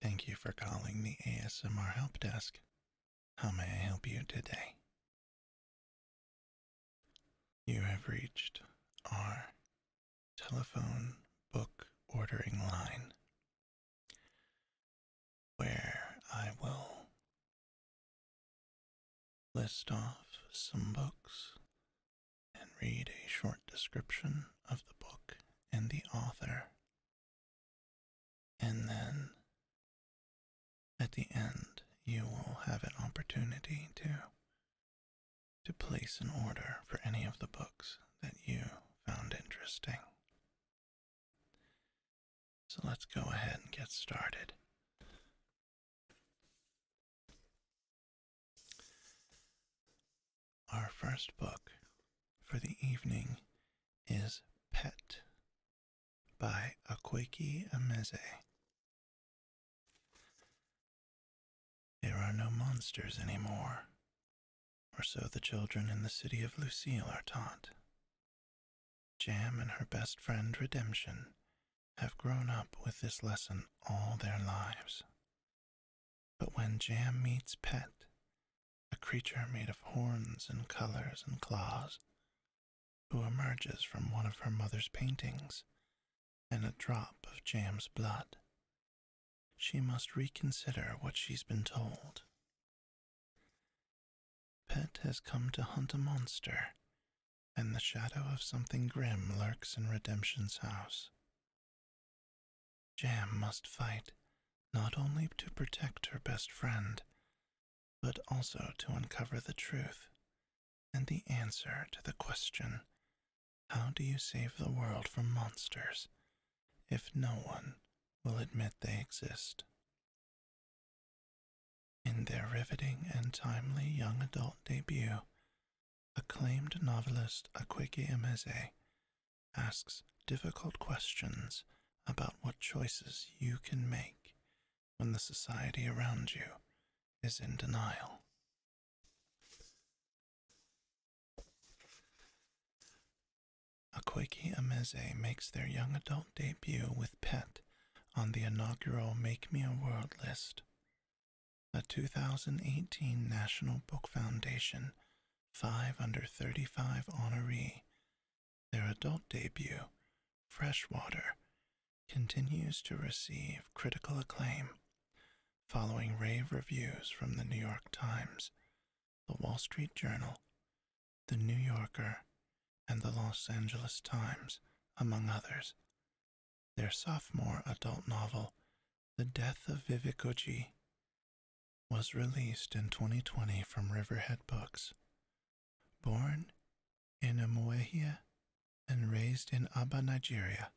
Thank you for calling the ASMR Help Desk. How may I help you today? You have reached our telephone book ordering line where I will list off some books and read a short description of the book and the author and then at the end, you will have an opportunity to to place an order for any of the books that you found interesting. So let's go ahead and get started. Our first book for the evening is Pet by Akweki Ameze. There are no monsters any more, or so the children in the city of Lucille are taught. Jam and her best friend Redemption have grown up with this lesson all their lives. But when Jam meets Pet, a creature made of horns and colors and claws, who emerges from one of her mother's paintings and a drop of Jam's blood, she must reconsider what she's been told. Pet has come to hunt a monster, and the shadow of something grim lurks in Redemption's house. Jam must fight not only to protect her best friend, but also to uncover the truth and the answer to the question how do you save the world from monsters if no one will admit they exist? In their riveting and timely young adult debut, Acclaimed novelist Akwege Emeze asks difficult questions about what choices you can make when the society around you is in denial. Akweki Ameze makes their young adult debut with Pet on the inaugural Make Me a World list a 2018 National Book Foundation 5 Under 35 honoree. Their adult debut, Freshwater, continues to receive critical acclaim following rave reviews from the New York Times, the Wall Street Journal, the New Yorker, and the Los Angeles Times, among others. Their sophomore adult novel, the Death of Vivikoji was released in 2020 from Riverhead Books. Born in Amuehia and raised in Aba, Nigeria,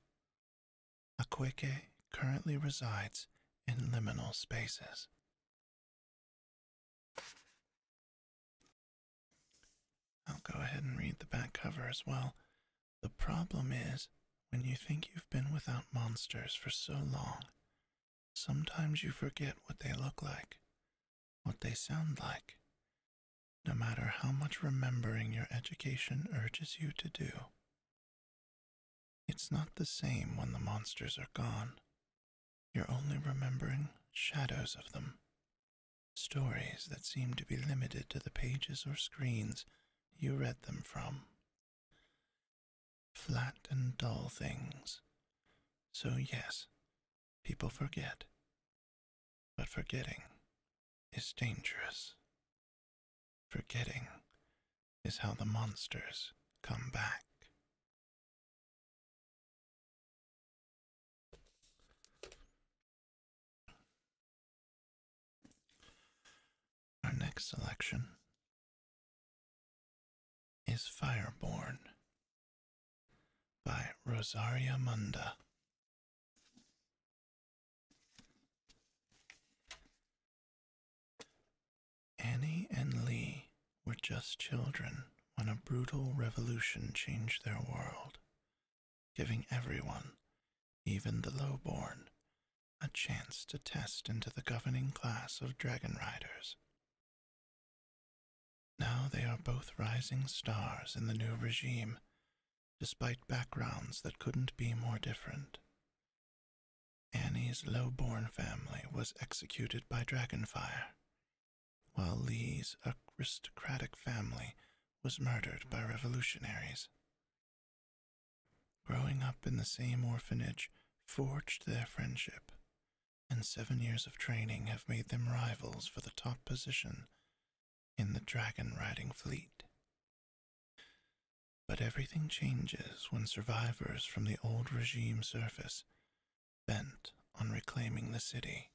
Akweke currently resides in liminal spaces. I'll go ahead and read the back cover as well. The problem is, when you think you've been without monsters for so long, sometimes you forget what they look like, what they sound like, no matter how much remembering your education urges you to do. It's not the same when the monsters are gone. You're only remembering shadows of them, stories that seem to be limited to the pages or screens you read them from. Flat and dull things. So, yes, people forget. But forgetting is dangerous. Forgetting is how the monsters come back. Our next selection is Fireborn by Rosaria Munda. Annie and Lee were just children when a brutal revolution changed their world, giving everyone, even the lowborn, a chance to test into the governing class of dragon riders. Now they are both rising stars in the new regime, despite backgrounds that couldn't be more different. Annie's low-born family was executed by dragonfire, while Lee's aristocratic family was murdered by revolutionaries. Growing up in the same orphanage forged their friendship, and seven years of training have made them rivals for the top position in the dragon riding fleet. But everything changes when survivors from the old regime surface, bent on reclaiming the city.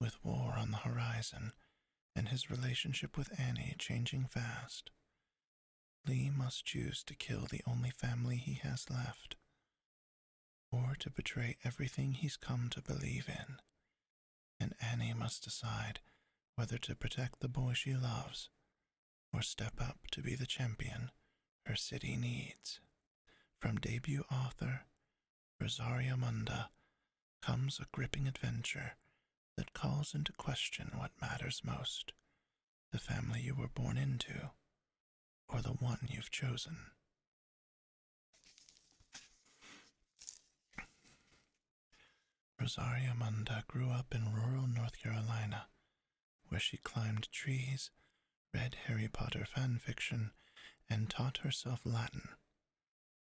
With war on the horizon, and his relationship with Annie changing fast. Lee must choose to kill the only family he has left, or to betray everything he's come to believe in. And Annie must decide whether to protect the boy she loves or step up to be the champion her city needs. From debut author Rosario Munda comes a gripping adventure that calls into question what matters most the family you were born into, or the one you've chosen. Rosaria Munda grew up in rural North Carolina, where she climbed trees, read Harry Potter fan fiction, and taught herself Latin,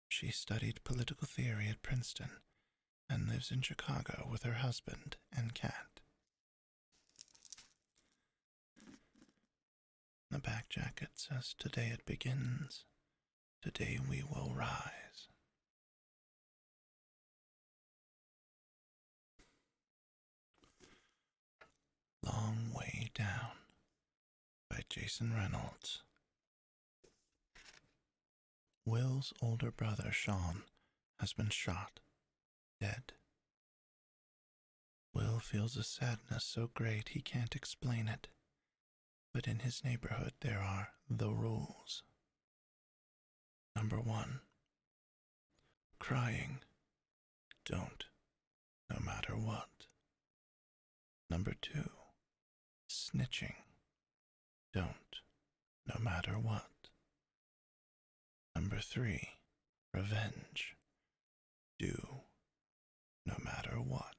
she studied political theory at Princeton and lives in Chicago with her husband and cat. The back jacket says, Today it begins. Today we will rise. Long way down, by Jason Reynolds. Will's older brother, Sean, has been shot, dead. Will feels a sadness so great he can't explain it, but in his neighborhood there are the rules. Number one, crying, don't, no matter what. Number two, snitching. Don't, no matter what. Number three, revenge. Do, no matter what.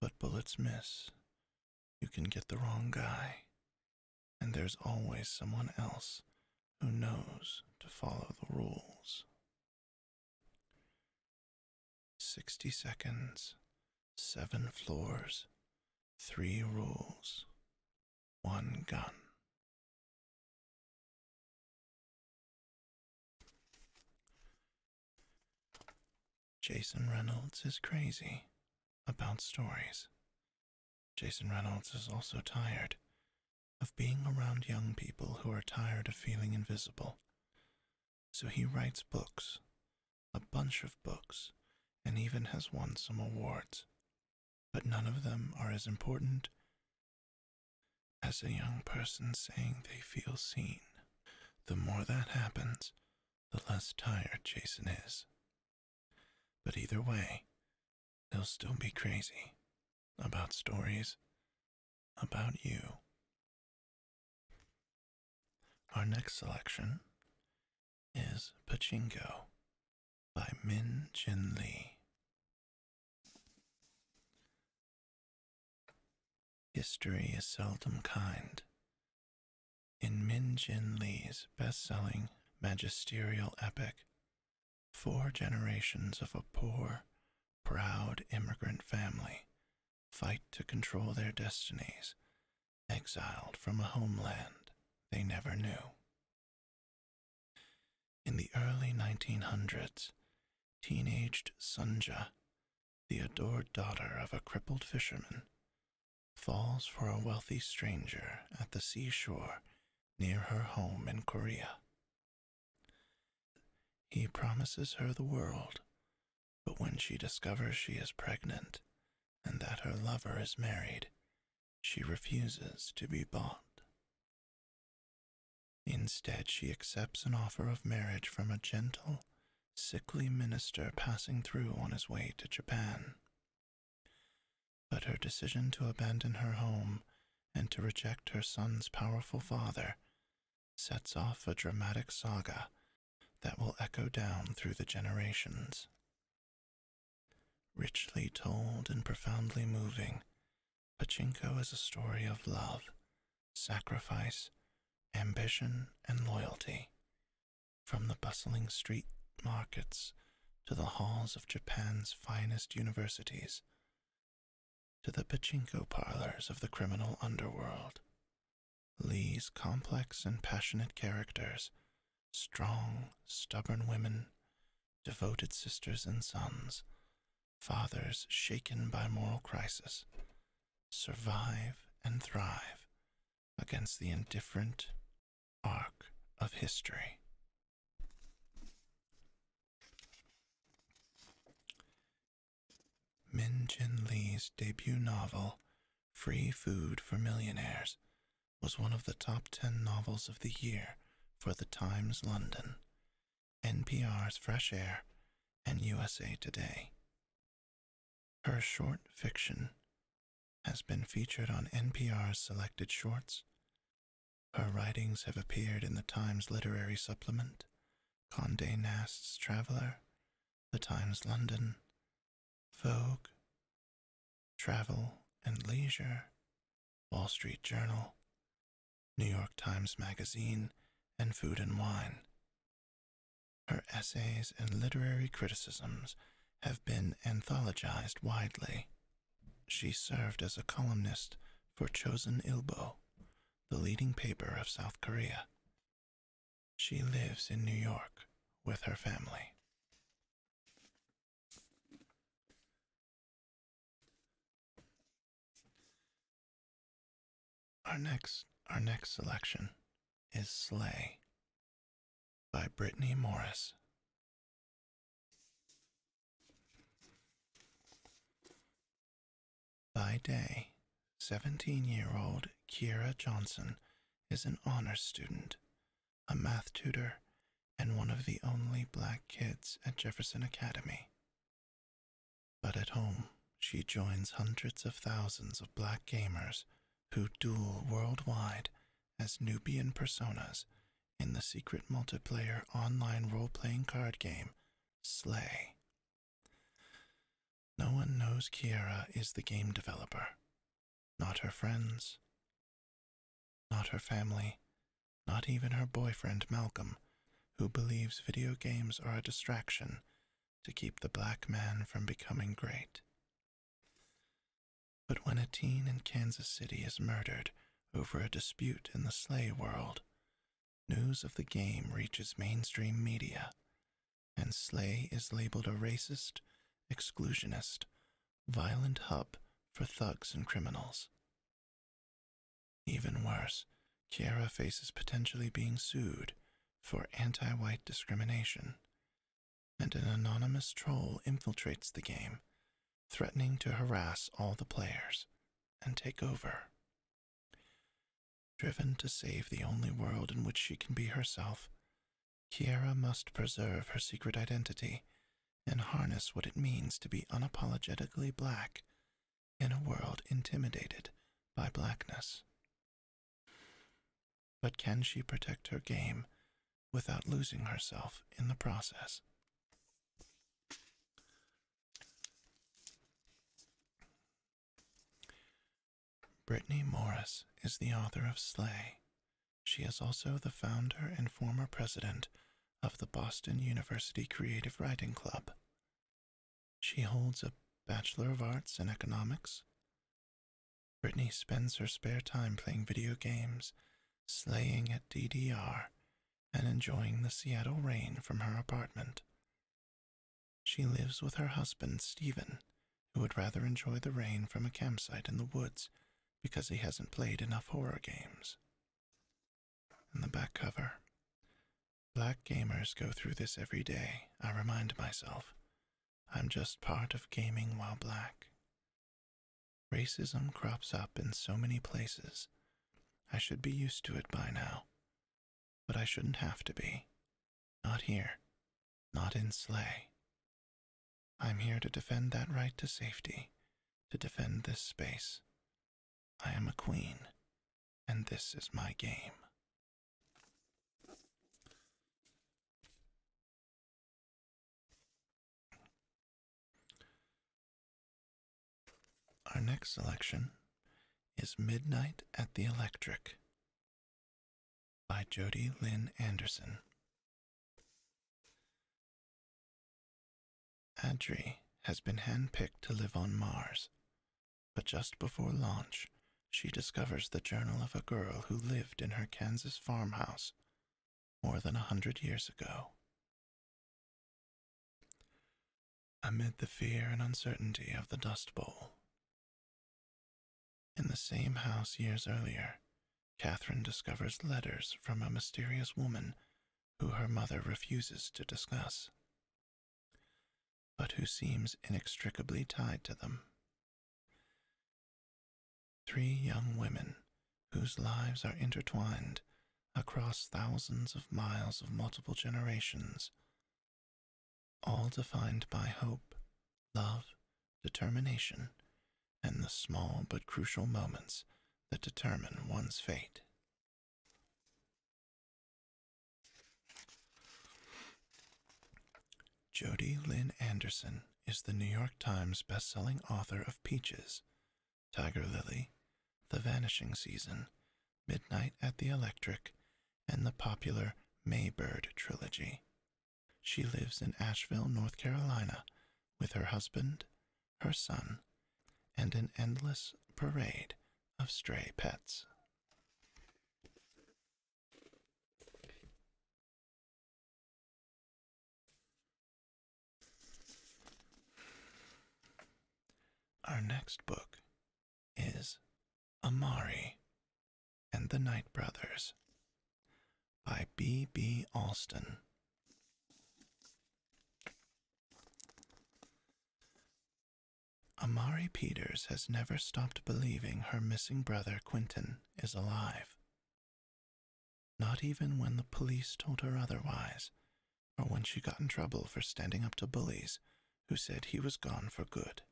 But bullets miss. You can get the wrong guy. And there's always someone else who knows to follow the rules. 60 seconds, 7 floors, 3 rules, 1 gun. Jason Reynolds is crazy about stories. Jason Reynolds is also tired of being around young people who are tired of feeling invisible. So he writes books, a bunch of books, and even has won some awards. But none of them are as important as a young person saying they feel seen. The more that happens, the less tired Jason is. But either way, he'll still be crazy about stories about you. Our next selection is Pachinko by Min Jin Lee. History is seldom kind. In Min Jin Lee's best selling magisterial epic, four generations of a poor, proud immigrant family fight to control their destinies, exiled from a homeland they never knew. In the early 1900s, teenaged Sunja, the adored daughter of a crippled fisherman, falls for a wealthy stranger at the seashore near her home in Korea. He promises her the world, but when she discovers she is pregnant and that her lover is married, she refuses to be bought. Instead, she accepts an offer of marriage from a gentle, sickly minister passing through on his way to Japan. But her decision to abandon her home and to reject her son's powerful father sets off a dramatic saga that will echo down through the generations. Richly told and profoundly moving, Pachinko is a story of love, sacrifice, ambition, and loyalty. From the bustling street markets to the halls of Japan's finest universities, to the pachinko parlors of the criminal underworld. Lee's complex and passionate characters, strong, stubborn women, devoted sisters and sons, fathers shaken by moral crisis, survive and thrive against the indifferent arc of history. Min Chin Lee's debut novel, Free Food for Millionaires, was one of the top 10 novels of the year for The Times London, NPR's Fresh Air, and USA Today. Her short fiction has been featured on NPR's selected shorts. Her writings have appeared in the Times Literary Supplement Condé Nast's Traveller, The Times London, Vogue, Travel and Leisure, Wall Street Journal, New York Times Magazine, and Food and Wine. Her essays and literary criticisms have been anthologized widely. She served as a columnist for Chosen Ilbo, the leading paper of South Korea. She lives in New York with her family. Our next, our next selection is "Sleigh" by Brittany Morris. By day, 17 year old Kiera Johnson is an honors student, a math tutor, and one of the only black kids at Jefferson Academy. But at home, she joins hundreds of thousands of black gamers who duel worldwide as Nubian personas in the secret multiplayer online role playing card game Slay. No one knows Kiera is the game developer. Not her friends. Not her family. Not even her boyfriend Malcolm, who believes video games are a distraction to keep the black man from becoming great. But when a teen in Kansas City is murdered over a dispute in the Slay world, News of the game reaches mainstream media, and Slay is labeled a racist, exclusionist, violent hub for thugs and criminals. Even worse, Kiara faces potentially being sued for anti white discrimination, and an anonymous troll infiltrates the game threatening to harass all the players and take over. Driven to save the only world in which she can be herself, Kiera must preserve her secret identity and harness what it means to be unapologetically black in a world intimidated by blackness. But can she protect her game without losing herself in the process? Brittany Morris is the author of Slay. She is also the founder and former president of the Boston University Creative Writing Club. She holds a Bachelor of Arts in Economics. Brittany spends her spare time playing video games, slaying at DDR, and enjoying the Seattle rain from her apartment. She lives with her husband, Stephen, who would rather enjoy the rain from a campsite in the woods because he hasn't played enough horror games. In the back cover, black gamers go through this every day, I remind myself. I'm just part of gaming while black. Racism crops up in so many places I should be used to it by now. But I shouldn't have to be. Not here. Not in sleigh. I'm here to defend that right to safety, to defend this space. I am a queen, and this is my game. Our next selection is Midnight at the Electric by Jody Lynn Anderson. Adri has been handpicked to live on Mars, but just before launch, she discovers the journal of a girl who lived in her Kansas farmhouse more than a hundred years ago amid the fear and uncertainty of the Dust Bowl. In the same house years earlier, Catherine discovers letters from a mysterious woman who her mother refuses to discuss, but who seems inextricably tied to them. Three young women whose lives are intertwined across thousands of miles of multiple generations, all defined by hope, love, determination, and the small but crucial moments that determine one's fate. Jody Lynn Anderson is the New York Times bestselling author of Peaches, Tiger Lily, The Vanishing Season, Midnight at the Electric, and the popular Maybird trilogy. She lives in Asheville, North Carolina, with her husband, her son, and an endless parade of stray pets. Our next book is Amari and the Night Brothers by B. B. Alston. Amari Peters has never stopped believing her missing brother Quentin is alive, not even when the police told her otherwise, or when she got in trouble for standing up to bullies who said he was gone for good.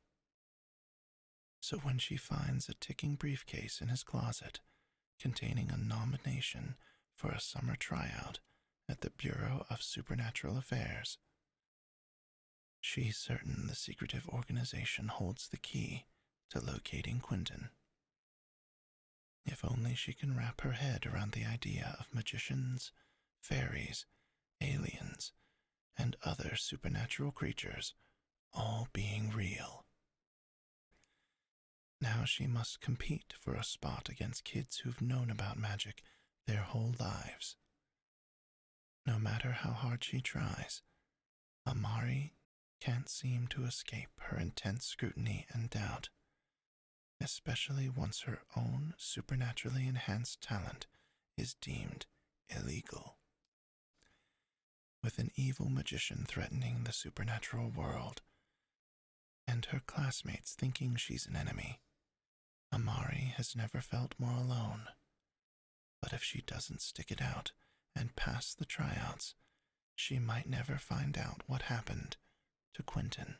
So when she finds a ticking briefcase in his closet containing a nomination for a summer tryout at the Bureau of Supernatural Affairs, she's certain the secretive organization holds the key to locating Quentin. If only she can wrap her head around the idea of magicians, fairies, aliens, and other supernatural creatures all being real. Now she must compete for a spot against kids who've known about magic their whole lives. No matter how hard she tries, Amari can't seem to escape her intense scrutiny and doubt, especially once her own supernaturally enhanced talent is deemed illegal. With an evil magician threatening the supernatural world, and her classmates thinking she's an enemy, Amari has never felt more alone. But if she doesn't stick it out and pass the tryouts, she might never find out what happened to Quentin.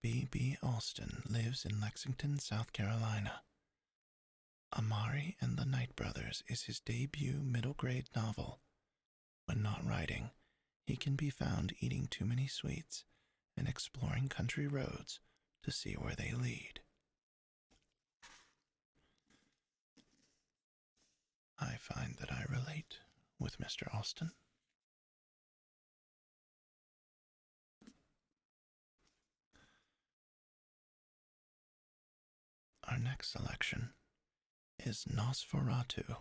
B. B. Alston lives in Lexington, South Carolina. Amari and the Night Brothers is his debut middle grade novel. When not writing, he can be found eating too many sweets and exploring country roads to see where they lead. I find that I relate with Mr. Austin. Our next selection is Nosferatu,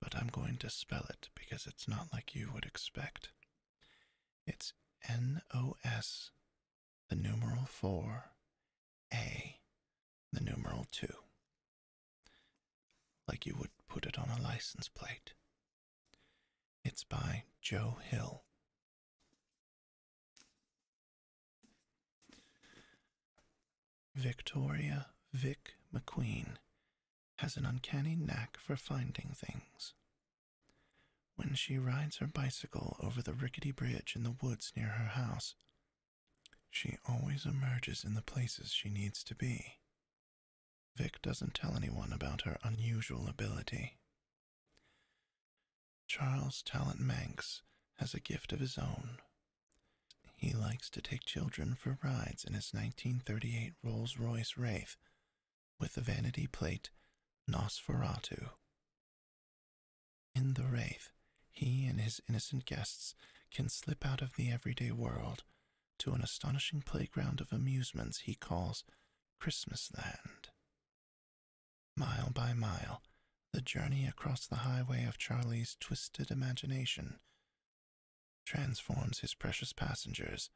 but I'm going to spell it because it's not like you would expect. It's N O S the numeral 4, A, the numeral 2, like you would put it on a license plate. It's by Joe Hill. Victoria Vic McQueen has an uncanny knack for finding things. When she rides her bicycle over the rickety bridge in the woods near her house, she always emerges in the places she needs to be. Vic doesn't tell anyone about her unusual ability. Charles Talent Manx has a gift of his own. He likes to take children for rides in his 1938 Rolls Royce Wraith with the vanity plate Nosferatu. In the Wraith, he and his innocent guests can slip out of the everyday world to an astonishing playground of amusements he calls Christmasland. Mile by mile, the journey across the highway of Charlie's twisted imagination transforms his precious passengers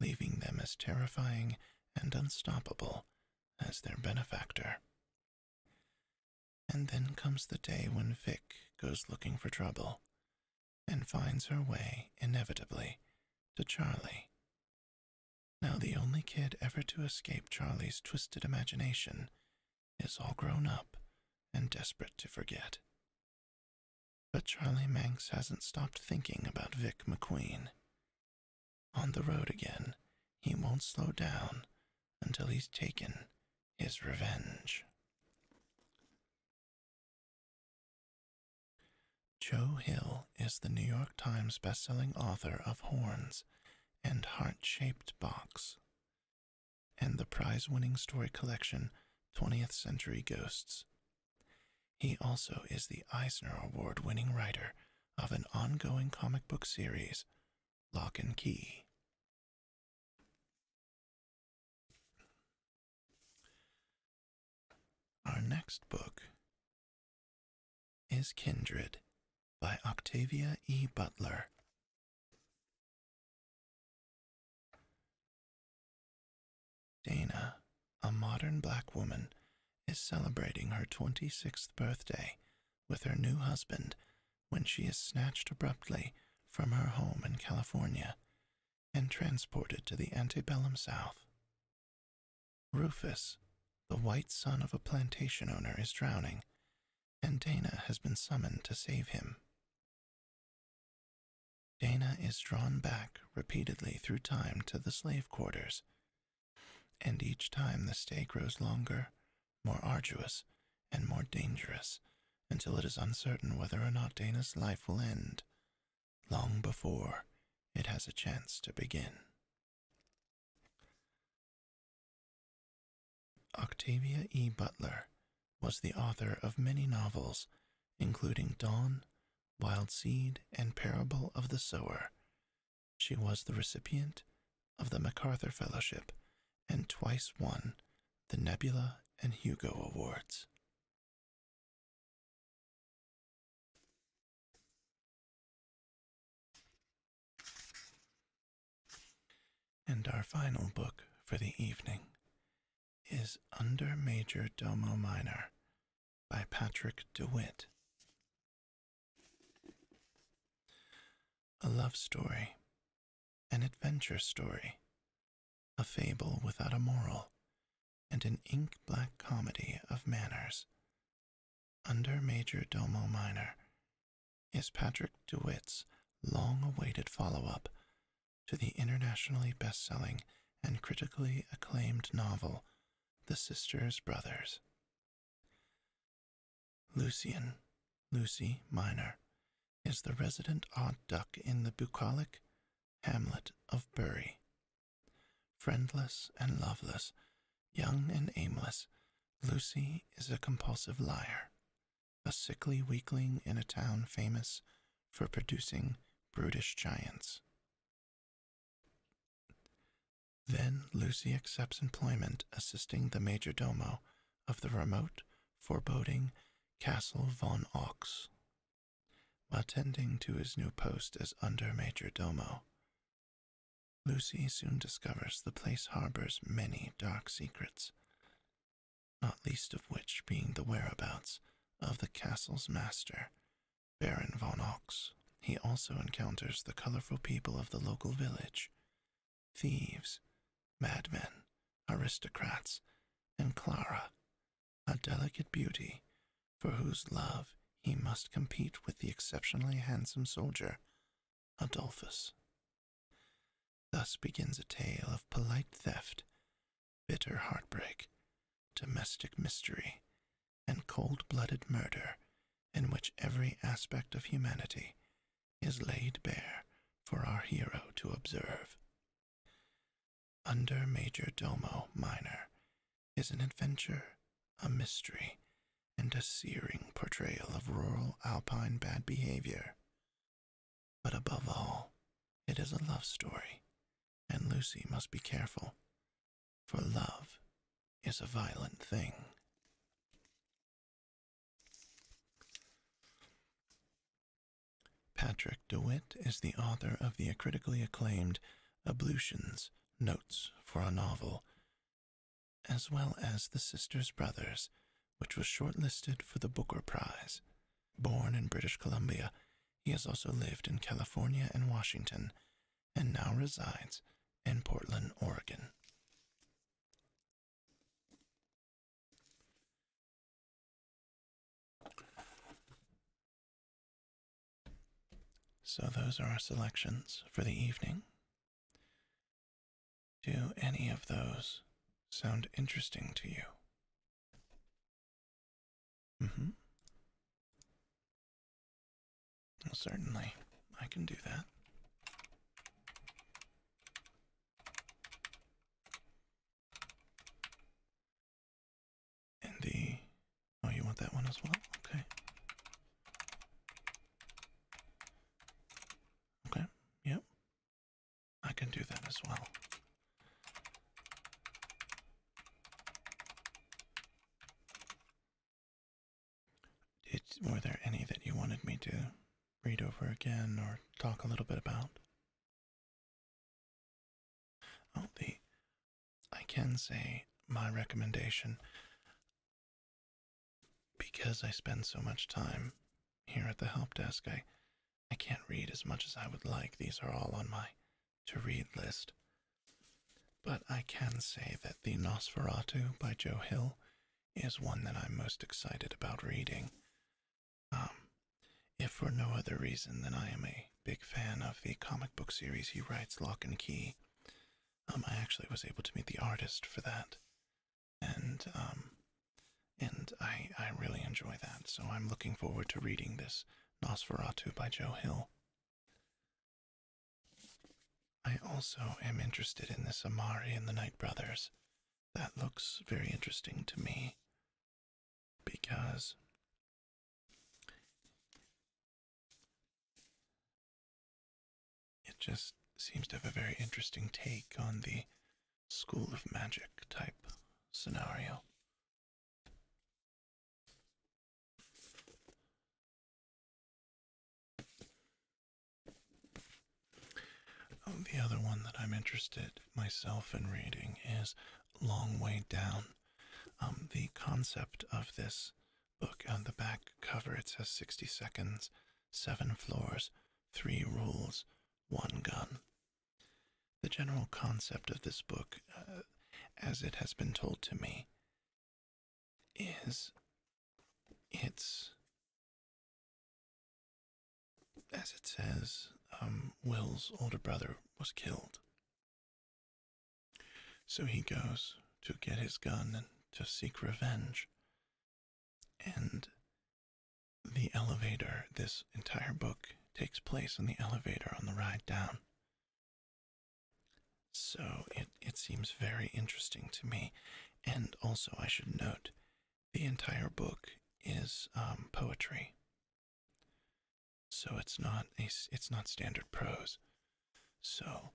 leaving them as terrifying and unstoppable as their benefactor. And then comes the day when Vic goes looking for trouble and finds her way, inevitably, to Charlie. Now, the only kid ever to escape Charlie's twisted imagination is all grown up and desperate to forget. But Charlie Manx hasn't stopped thinking about Vic McQueen on the road again, he won't slow down until he's taken his revenge. Joe Hill is the New York Times bestselling author of Horns and Heart Shaped Box and the prize winning story collection 20th Century Ghosts, he also is the Eisner Award winning writer of an ongoing comic book series, Lock and Key. Our next book is Kindred by Octavia E. Butler. Dana, a modern black woman, is celebrating her 26th birthday with her new husband when she is snatched abruptly from her home in California and transported to the antebellum South. Rufus, the white son of a plantation owner, is drowning, and Dana has been summoned to save him. Dana is drawn back repeatedly through time to the slave quarters, and each time the stay grows longer, more arduous, and more dangerous, until it is uncertain whether or not Dana's life will end, long before it has a chance to begin. Octavia E. Butler was the author of many novels, including Dawn, Wild Seed, and Parable of the Sower. She was the recipient of the MacArthur Fellowship and twice won the Nebula and Hugo Awards. And our final book for the evening is Under Major Domo Minor by Patrick DeWitt. A love story, an adventure story, a fable without a moral, and an ink black comedy of manners. Under Major Domo Minor is Patrick DeWitt's long awaited follow up to the internationally best selling and critically acclaimed novel the sister's brothers. Lucian, Lucy Minor, is the resident odd duck in the bucolic hamlet of Bury. Friendless and loveless, young and aimless, Lucy is a compulsive liar, a sickly weakling in a town famous for producing brutish giants. Then Lucy accepts employment assisting the majordomo of the remote, foreboding Castle von Ox, Attending to his new post as under majordomo. Lucy soon discovers the place harbors many dark secrets, not least of which being the whereabouts of the castle's master, Baron von Ox, he also encounters the colorful people of the local village thieves, madmen, aristocrats, and Clara, a delicate beauty for whose love he must compete with the exceptionally handsome soldier, Adolphus. Thus begins a tale of polite theft bitter heartbreak, domestic mystery, and cold blooded murder in which every aspect of humanity is laid bare for our hero to observe. Under Major Domo Minor is an adventure, a mystery, and a searing portrayal of rural alpine bad behavior. But above all, it is a love story and Lucy must be careful, for love is a violent thing. Patrick DeWitt is the author of the critically acclaimed Ablutions Notes for a Novel, as well as The Sisters Brothers, which was shortlisted for the Booker Prize. Born in British Columbia, he has also lived in California and Washington and now resides in Portland, Oregon. So, those are our selections for the evening. Do any of those sound interesting to you? Mm-hmm. Well, certainly, I can do that. And oh, you want that one as well? Okay. Okay. Yep. I can do that as well were there any that you wanted me to read over again or talk a little bit about? Oh, the. I can say my recommendation because I spend so much time here at the help desk. I I can't read as much as I would like. These are all on my to read list. But I can say that The Nosferatu by Joe Hill is one that I'm most excited about reading. Um, if for no other reason than I am a big fan of the comic book series he writes, Lock and Key. Um, I actually was able to meet the artist for that, and um, and I I really enjoy that. So I'm looking forward to reading this Nosferatu by Joe Hill. I also am interested in this Amari and the Knight Brothers. That looks very interesting to me because it just seems to have a very interesting take on the school of magic type scenario. Um, the other one that I'm interested myself in reading is Long Way Down. Um, the concept of this book on uh, the back cover it says 60 seconds, seven floors, three rules, one gun. The general concept of this book, uh, as it has been told to me, is it's, as it says, um, Will's older brother was killed. So he goes to get his gun and to seek revenge. And the elevator, this entire book takes place in the elevator on the ride down. So it, it seems very interesting to me. And also, I should note, the entire book is um, poetry. So it's not a, it's not standard prose. So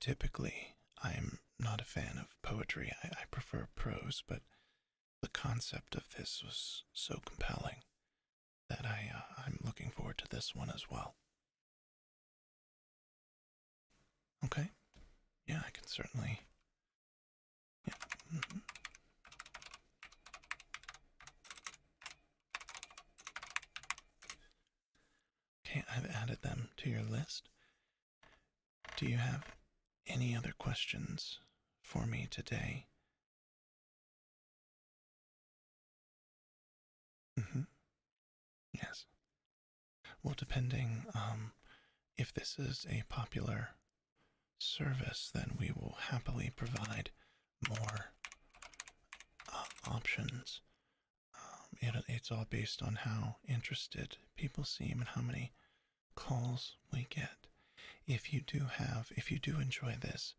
typically, I'm not a fan of poetry. I, I prefer prose, but the concept of this was so compelling that I, uh, I'm looking forward to this one as well. Okay. Yeah, I can certainly. Yeah. Mm-hmm. Okay, I've added them to your list. Do you have any other questions for me today Mm-hmm. Yes. Well, depending um, if this is a popular service, then we will happily provide more uh, options. Um, it's all based on how interested people seem and how many calls we get. If you do have, if you do enjoy this,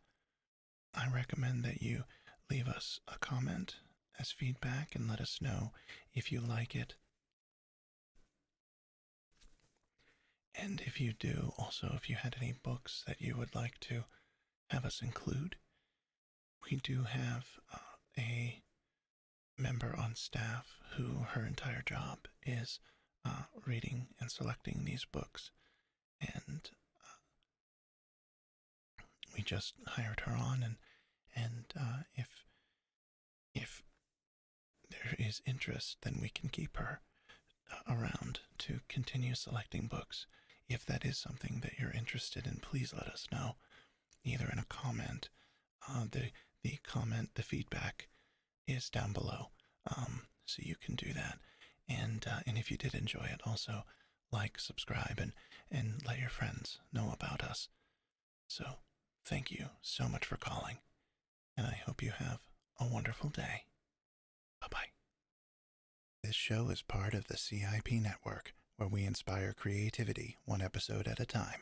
I recommend that you leave us a comment as feedback and let us know if you like it. And if you do, also, if you had any books that you would like to have us include, we do have uh, a member on staff who her entire job is uh, reading and selecting these books, and uh, we just hired her on. and And uh, if if there is interest, then we can keep her around to continue selecting books. If that is something that you're interested in, please let us know, either in a comment. the the comment, the feedback is down below. Um, so you can do that. And uh, and if you did enjoy it, also like, subscribe, and and let your friends know about us. So thank you so much for calling, and I hope you have a wonderful day. Bye bye. This show is part of the CIP network, where we inspire creativity one episode at a time.